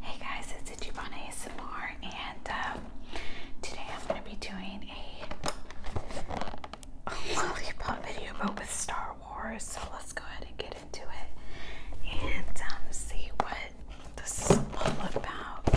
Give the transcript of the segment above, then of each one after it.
Hey guys, it's Ichiban ASMR, and um, today I'm going to be doing a, lollipop video, but with Star Wars. So let's go ahead and get into it and um, see what this is all about.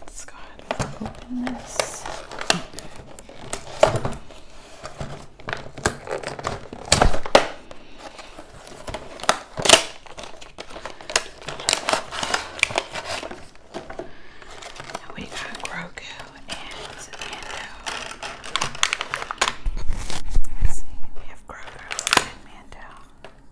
Let's go ahead and open this. we got Grogu and Mando. Let's see, we have Grogu and Mando.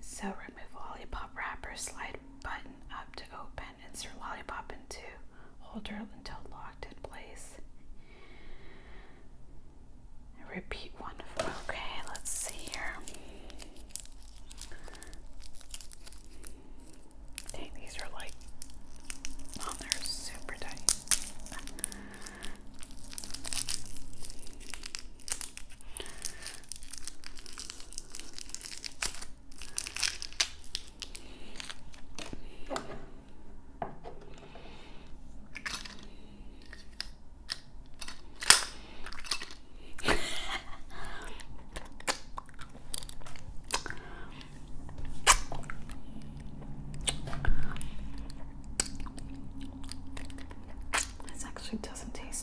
So remove lollipop wrapper, slide button up to open, insert lollipop into holder until locked in place. Repeat one of okay, let's see here. these are like oh they're super tight. This actually doesn't taste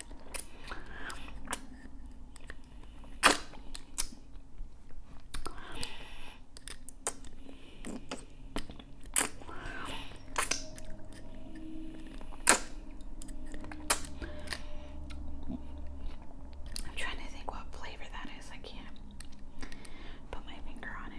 I'm trying to think what flavor that is. I can't put my finger on it.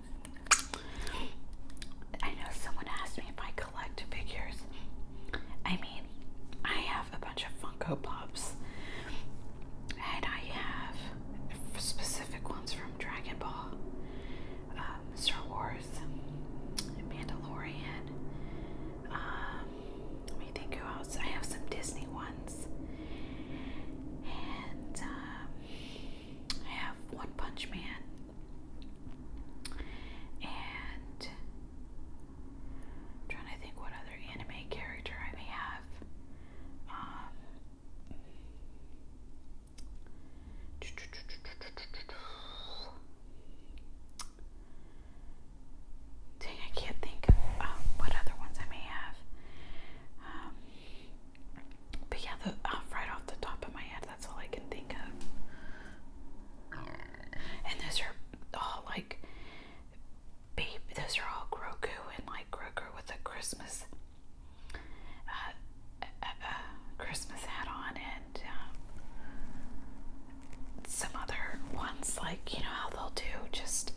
I know someone asked me if I collect figures. I mean, I have a bunch of Funko Pops, and I have specific ones from Dragon Ball, um, Star Wars, Mandalorian. Um, let me think who else. I have some Disney ones, and um, I have One Punch Man and trying to think what other anime character I may have. Um, dang, I can't think of um, what other ones I may have. Um, but yeah, the, uh, right off the top of my head, that's all I can think of. And those are all like, those are all Grogu and like Grogu with a Christmas, uh, Christmas hat on, and um, some other ones like you know how they'll do just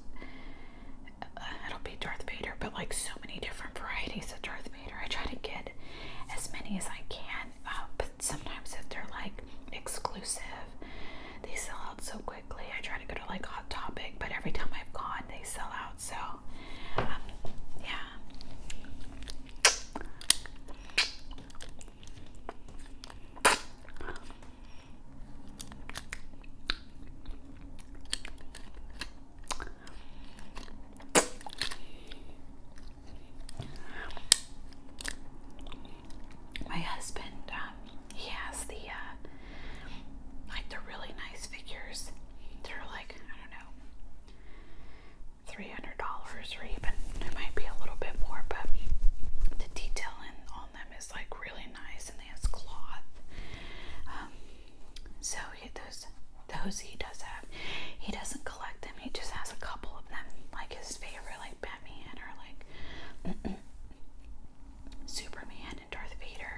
it'll be Darth Vader, but like so many different varieties of Darth Vader. I try to get as many as I can, uh, but sometimes if they're like exclusive, they sell out so quickly. I try to go to like Hot Topic, but every time I've gone, they sell out. So, um, yeah. My husband, um, he has the uh, like the really nice figures. They're like I don't know, three hundred dollars or even it might be a little bit more, but the detail in on them is like really nice, and they has cloth. Um, so he, those those he does have. He doesn't collect them. He just has a couple of them, like his favorite, like Batman or like Superman and Darth Vader.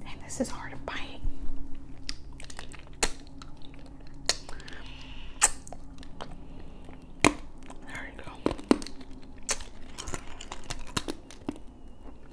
Dang, this is hard to bite. There you go.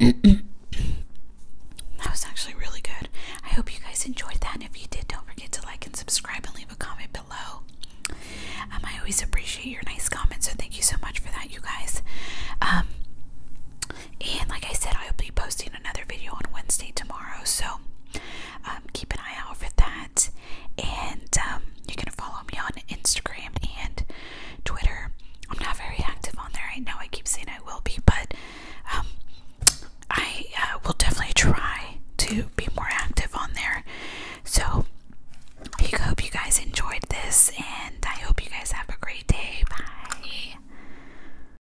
that was actually really good. I hope you guys enjoyed that. And if you did, don't forget to like and subscribe and leave a comment below. Um, I always appreciate your nice comments, so thank you so much for that, you guys. Um, and like I said, I'll be posting another video on Wednesday tomorrow, so um, keep an eye out for that. And um, you can follow me on Instagram and Twitter. I'm not very active on there I know. I keep saying I will be, but um, I uh, will definitely try to be more active on there. So I hope you guys enjoyed this, and I hope you guys have a great day. Bye.